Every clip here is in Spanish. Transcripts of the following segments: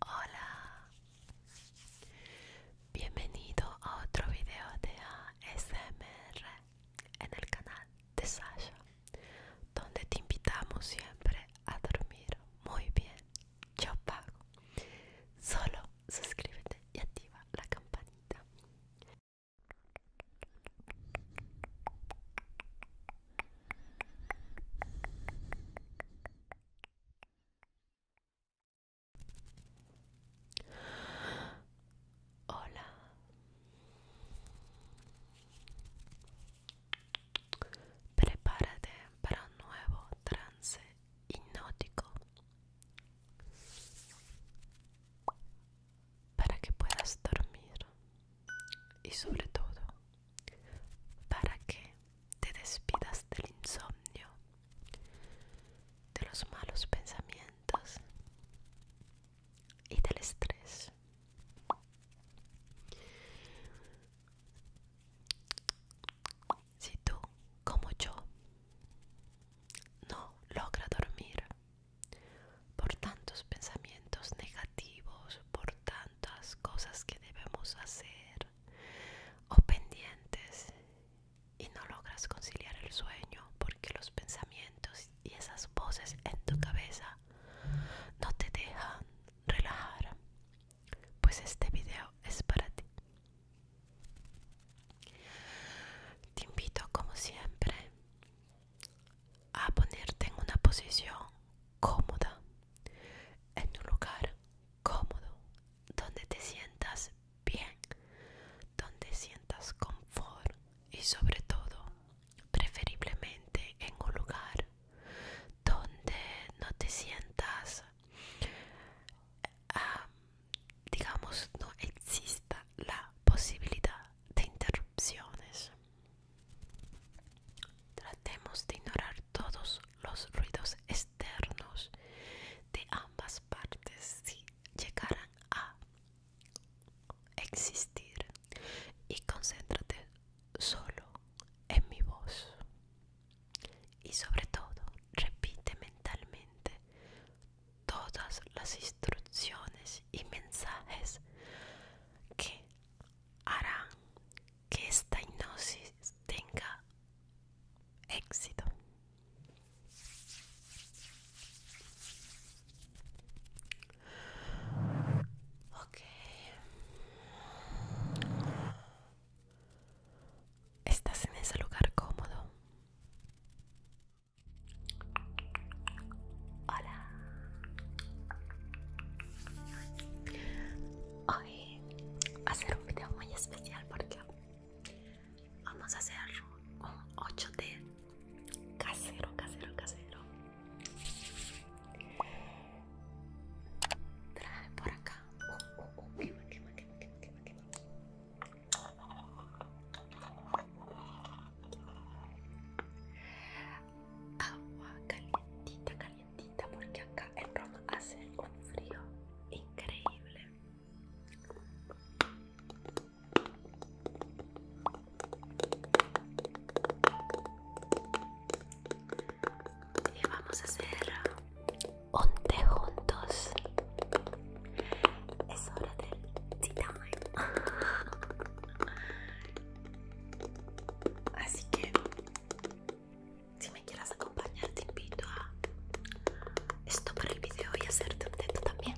Hola, bienvenido a otro video de ASMR en el canal de Sasha, donde te invitamos siempre a dormir muy bien. Yo pago, solo suscríbete y activa la campanita. Hola. Prepárate para un nuevo trance hipnótico para que puedas dormir y sobre todo para que te despidas del insomnio, de los malos pensamientos y del estrés. Si tú, como yo, no logra dormir por tantos pensamientos negativos, por tantas cosas que debemos hacer o pendientes y no logras conciliar el sueño porque los pensamientos y esas voces en tu cabeza no te dejan relajar. Pues este video es para ti. Te invito como siempre a ponerte en una posición cómoda, en un lugar cómodo, donde te sientas bien, donde sientas confort y sobre todo, preferiblemente en un lugar donde no te sientas, ah, digamos, no exista la posibilidad de interrumpir Tratemos de ignorar todos los ruidos externos de ambas partes si llegaran a existir y concéntrate solo en mi voz. Y sobre todo, repite mentalmente todas las instrucciones y mensajes que harán que esta hipnosis tenga éxito. Estás en ese lugar cómodo. Hola. Hoy va a ser un video muy especial porque vamos a hacer un 8D casero, casero, casero. Trae por acá agua calientita, calientita, porque acá en Roma hace un frío increíble. Y vamos a hacer un juntos. Es hora del tea Así que si me quieras acompañar te invito a esto para el video y hacerte un teto también.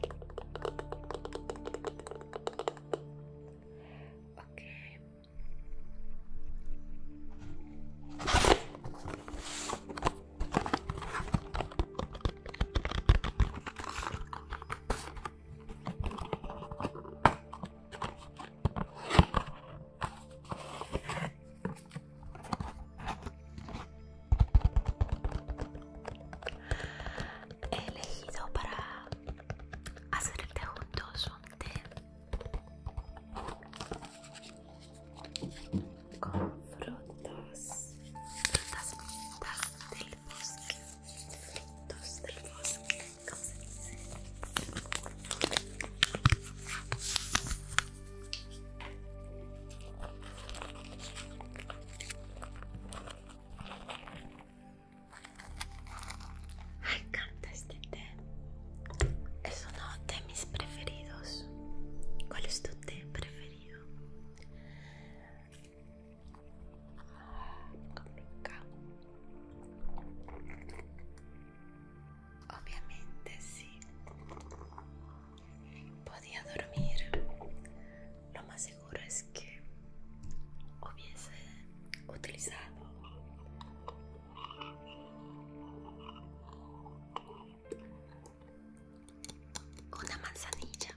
He elegido para hacer el juntos un té con frutas, frutas, frutas del bosque, del bosque, Me encanta este té. Es uno de mis preferidos. ¿Cuál es tu té preferido? Obviamente sí. Podía dormir. Lo más seguro es que hubiese utilizado una manzanilla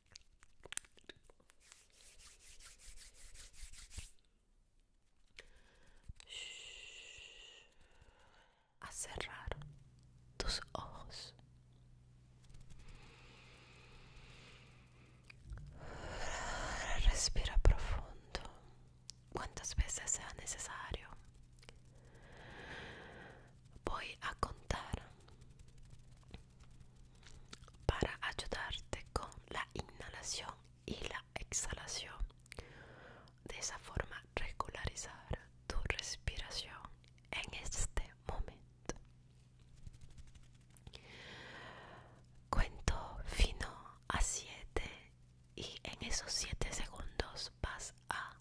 a cerrar tus ojos respira profundo Cuántas veces sea necesario voy a contar para ayudarte con la inhalación y la exhalación. De esa forma regularizar tu respiración en este momento. Cuento fino a 7 y en esos 7 segundos vas a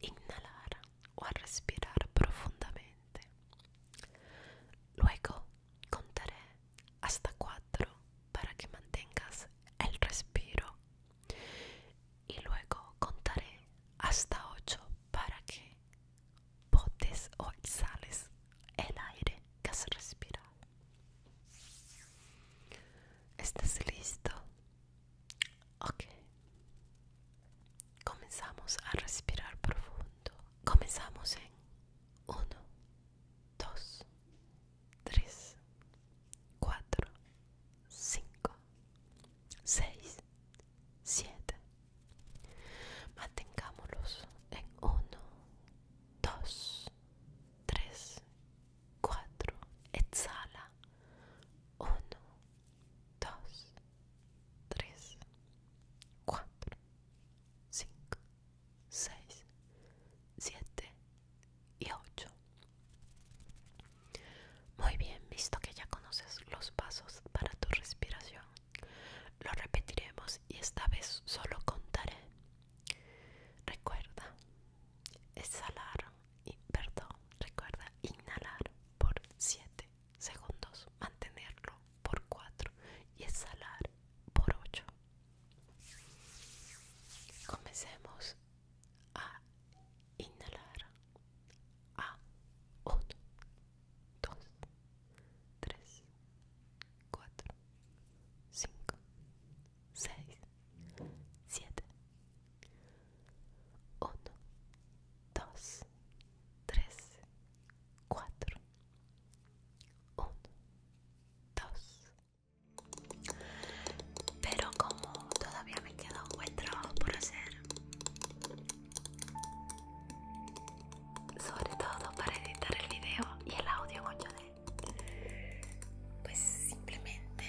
inhalar o a respirar profundamente. Luego contaré hasta cuatro para que mantengas el respiro y luego contaré hasta ocho para que botes o exhales el aire que has respirado. ¿Estás listo? Ok. Comenzamos a respirar profundo. Comenzamos en 1, 2, 3, 4, 5, 6, 7. Mantengámoslos en 1, 2, 3, 4. Exhala. 1, 2 3 4 5 6 7 y 8 muy bien visto que ya conoces los pasos para tu respiración lo repetiremos y esta vez solo contaré recuerda exhalar y perdón recuerda inhalar por 7 segundos, mantenerlo por cuatro y exhalar por 8. Comencemos a inhalar a 1, 2, 3, 4, 5, 6, siete 1 2 3 4 1 2 Pero como todavía me queda un buen trabajo por hacer Sobre todo para editar el video y el audio con lloré Pues simplemente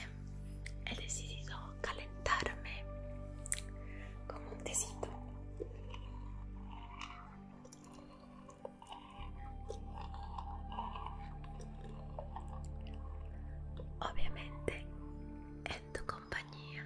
he decidido calentarme con un tecito. Obviamente en tu compañía.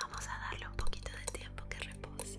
Vamos a darle un poquito de tiempo que repose.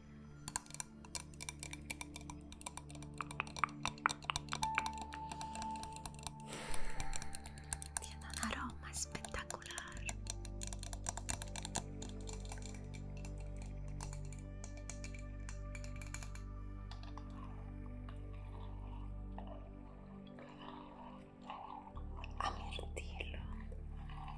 Tiene un aroma espectacular. A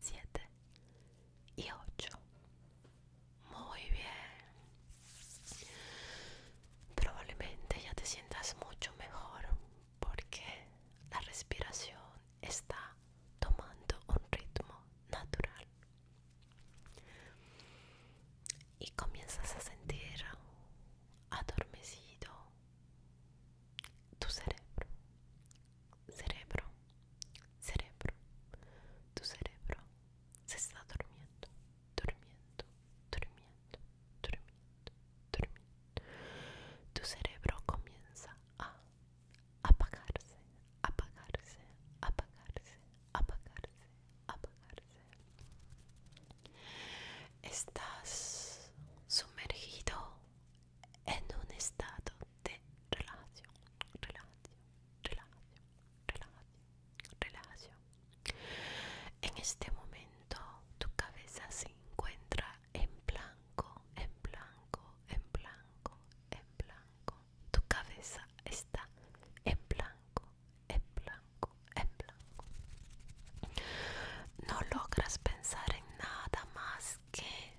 7 y 8. Muy bien. Probablemente ya te sientas mucho mejor porque la respiración está tomando un ritmo natural. Y comienzas a sentir adormecido tu cerebro Cerebro, cerebro, tu cerebro se está durmiendo, durmiendo, durmiendo, durmiendo, Tu cerebro comienza a apagarse, apagarse, apagarse, apagarse, apagarse. Estás sumergido en un estado de relación, relajación, relajación, relajación, relajación. En este momento tu cabeza se encuentra en blanco, en blanco, en blanco, en blanco. Tu cabeza está en blanco, en blanco, en blanco. No logras pensar en nada más que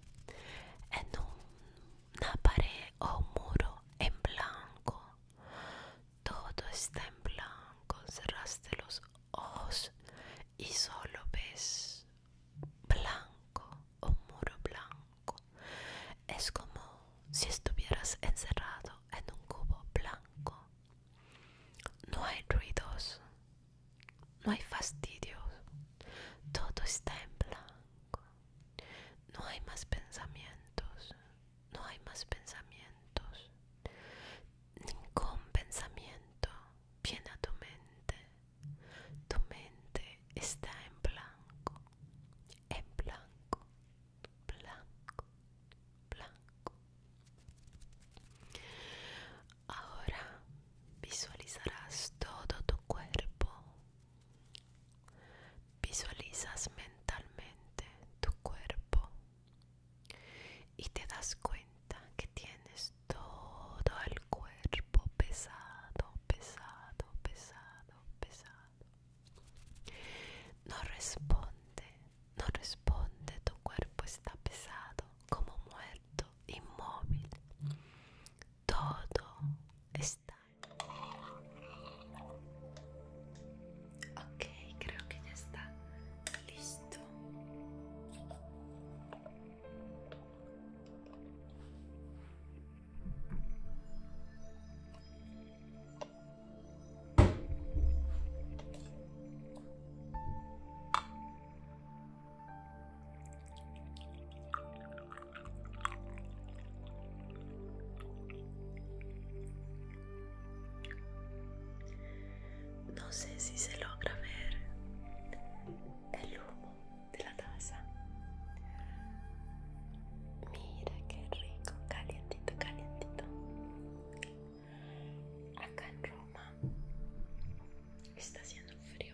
en una pared o muro en blanco, todo está en blanco, cerraste los ojos y solo ves blanco, un muro blanco. Es como si estuvieras encerrado en un cubo blanco. No hay ruidos, no hay fastidios, todo está en blanco. No hay más pensamientos, no hay más pensamientos. Ningún pensamiento viene a tu mente. Tu mente está en blanco, en blanco, blanco, blanco. Ahora visualizarás todo tu cuerpo. Visualizas mentalmente tu cuerpo y te das cuenta que tienes todo el cuerpo pesado, pesado, pesado, pesado. No responde, no responde, tu cuerpo está pesado como muerto, inmóvil. Todo está. Ok, creo que ya está listo. No sé si se logra ver el humo de la taza. Mira qué rico, calientito, calientito. Acá en Roma está haciendo frío.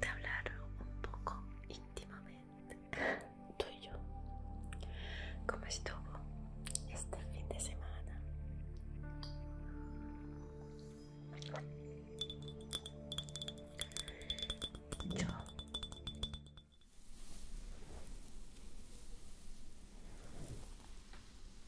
de hablar un poco íntimamente, tú y yo. como estuvo este fin de semana?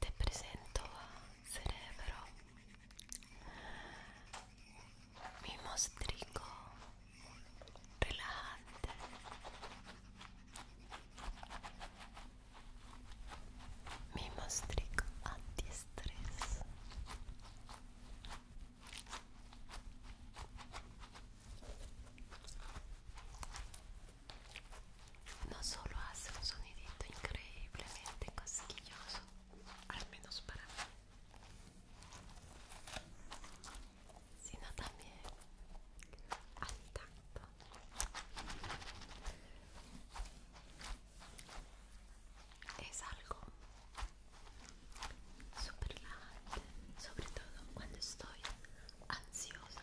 Te presento a Cerebro, mi mostrico relajante. Mi mostrico antiestrés no solo hace un sonidito increíblemente cosquilloso, al menos para mí, sino también al tacto. Es algo súper relajante, sobre todo cuando estoy ansiosa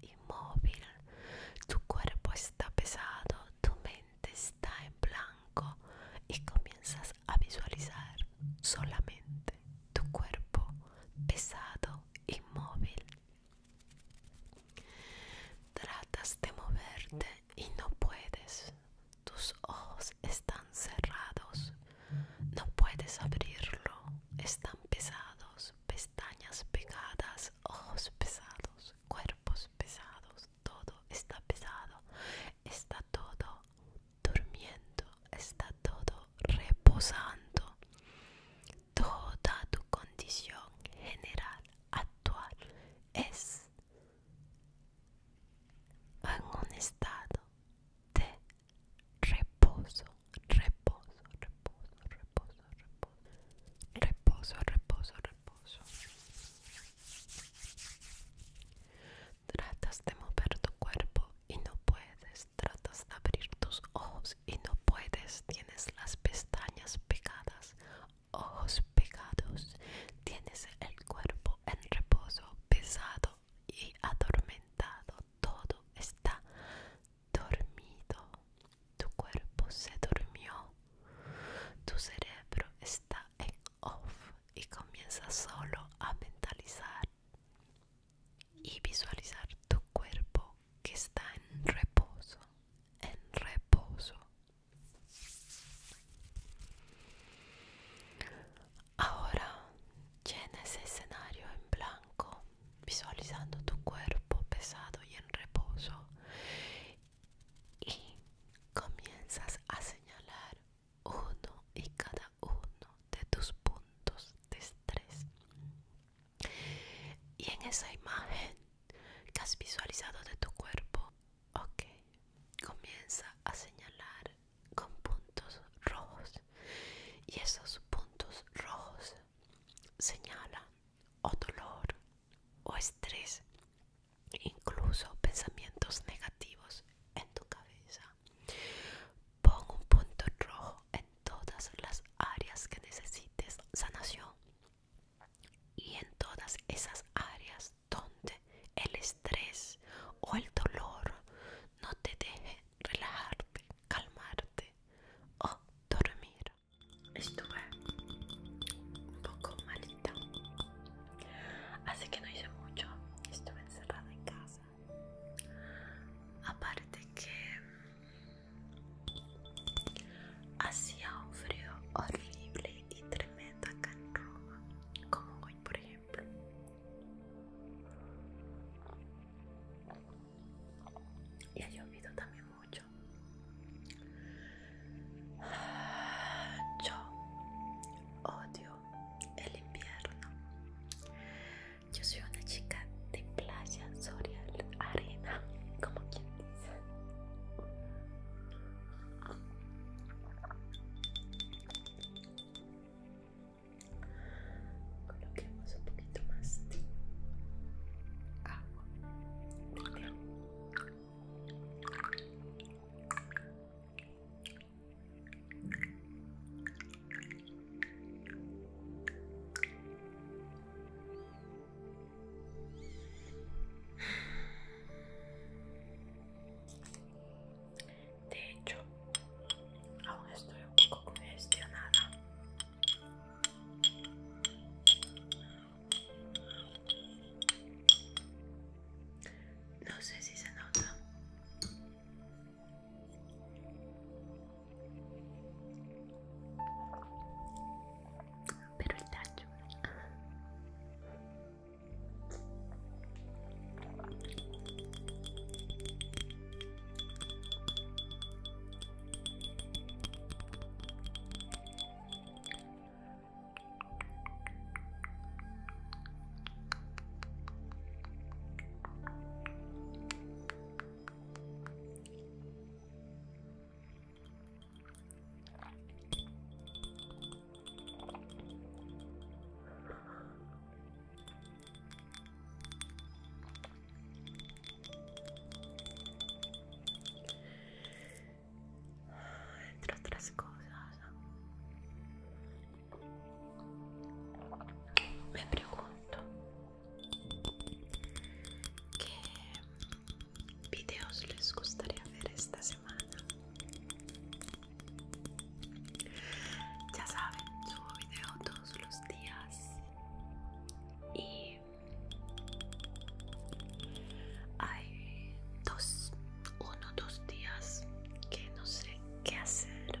Inmóvil, tu cuerpo está pesado, tu mente está en blanco y comienzas a visualizar solamente tu cuerpo pesado, inmóvil Tratas de moverte y no puedes. Tus ojos están cerrados. No puedes abrirlo. Están pesados. Pestañas pegadas. Ojos pesados. Cuerpos pesados. Todo está pesado. Está todo durmiendo. Está todo reposando. Toda tu condición general actual es en un estado de reposo, reposo, reposo, reposo, reposo, reposo, reposo, reposo. Tratas de mover tu cuerpo y no puedes tratas de abrir tus ojos y no puedes, tienes las pestañas pegadas, ojos pegados, tienes el cuerpo en reposo, pesado y atormentado, todo está dormido, tu cuerpo se durmió, tu cerebro está en off y comienza solo a mentalizar y visualizar tu cuerpo que está en reposo, en reposo. Ahora llena ese escenario en blanco, visualizando tu cuerpo pesado y en reposo y comienzas a señalar uno y cada uno de tus puntos de estrés y en esa imagen que has visualizado de tu cuerpo ok comienza a señalar con puntos rojos y esos puntos rojos señalan o dolor o estrés incluso pensamientos negativos en tu cabeza pon un punto rojo en todas las áreas que necesites sanación y en todas esas áreas donde el estrés o el dolor no te deje relajarte, calmarte o dormir. Estuve un poco malita, así que no hice mucho, estuve encerrada en casa. Aparte que Hacía un frío horrible y tremendo acá en Roma, como hoy por ejemplo. Y ha llovido también mucho. Yo odio el invierno. Yo soy una chica de playa, soria, arena, como quien dice. Coloquemos un poquito más de agua. De hecho, aún estoy un poco congestionada. No sé si se nota. Pero el tacho entre otras cosas, me pregunto qué videos les gustaría ver esta semana. Ya saben, subo video todos los días y hay dos, uno, dos días que no sé qué hacer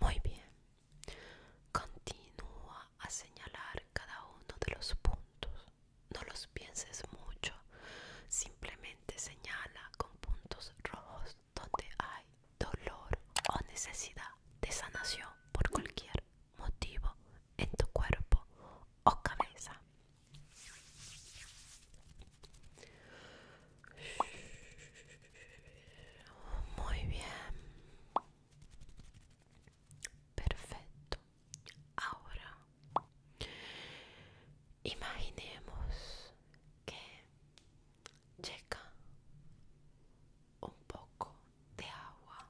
Muy bien. Continúa a señalar cada uno de los puntos. No los pienses mucho. Simplemente señala con puntos rojos donde hay dolor o necesidad de sanación por cualquier motivo en tu cuerpo o cabeza. Muy bien. Perfecto. Ahora imaginemos que llega un poco de agua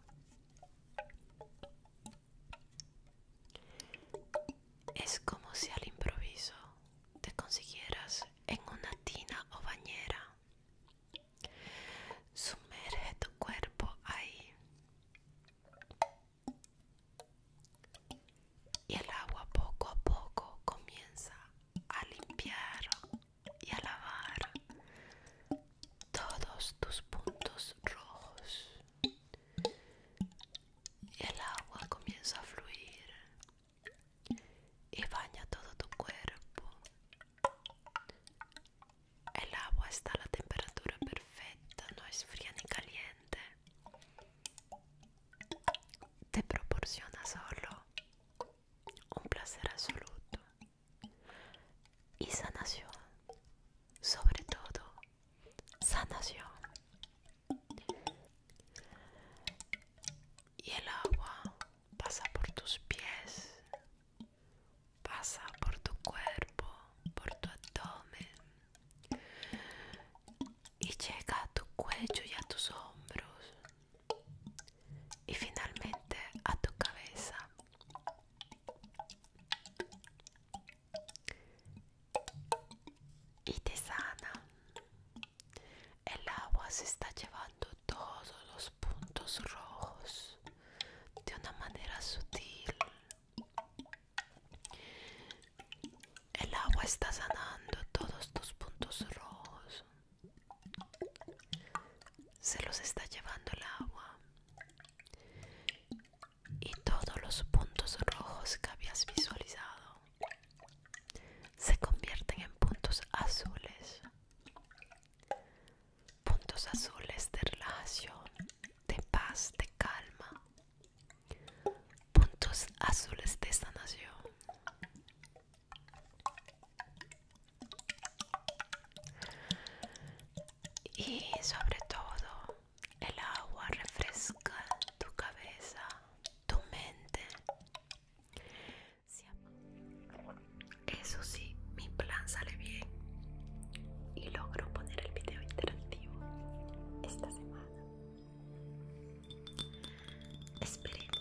es como si al improviso te consiguieras en una tina o bañera sumerge tu cuerpo ahí y el agua poco a poco comienza a limpiar y a lavar todos tus puntos rojos y el agua comienza a fluir y baña todo tu cuerpo el agua está a la temperatura perfecta no es fría ni caliente te proporciona solo un placer absoluto y sanación, sobre todo sanación. Y el agua pasa por tus pies, pasa por tu cuerpo, por tu abdomen y llega a tu cuello y a tus hombros y finalmente a tu cabeza y te sana. El agua se está llevando todos los puntos rojos de una manera sutil. El agua está sanando todos tus puntos rojos. Se los está llevando el agua y todos los puntos rojos que habías visualizado se convierten en puntos azules puntos azules de relajación de paz de calma puntos azules de sanación y sobre todo, el agua refresca tu cabeza, tu mente. Eso sí, mi plan sale bien y logro poner el video interactivo esta semana. Esperemos.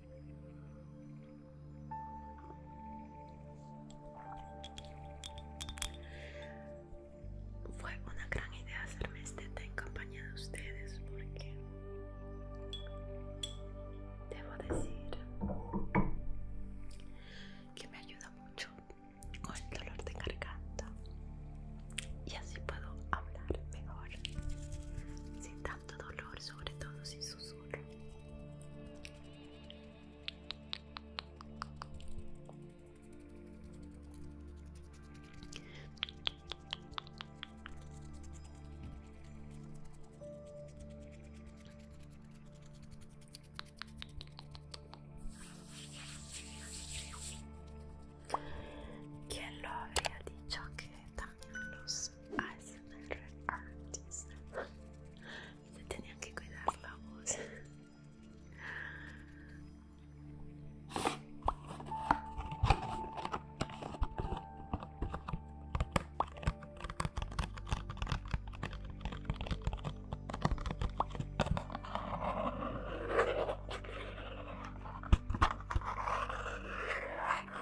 Fue una gran idea hacerme este té en compañía de ustedes porque debo decir que me ayuda mucho con el dolor de garganta y así puedo hablar mejor sin tanto dolor, sobre todo si susurro. quien lo había dicho que están los ASMR artists. Se tenían que cuidar la voz.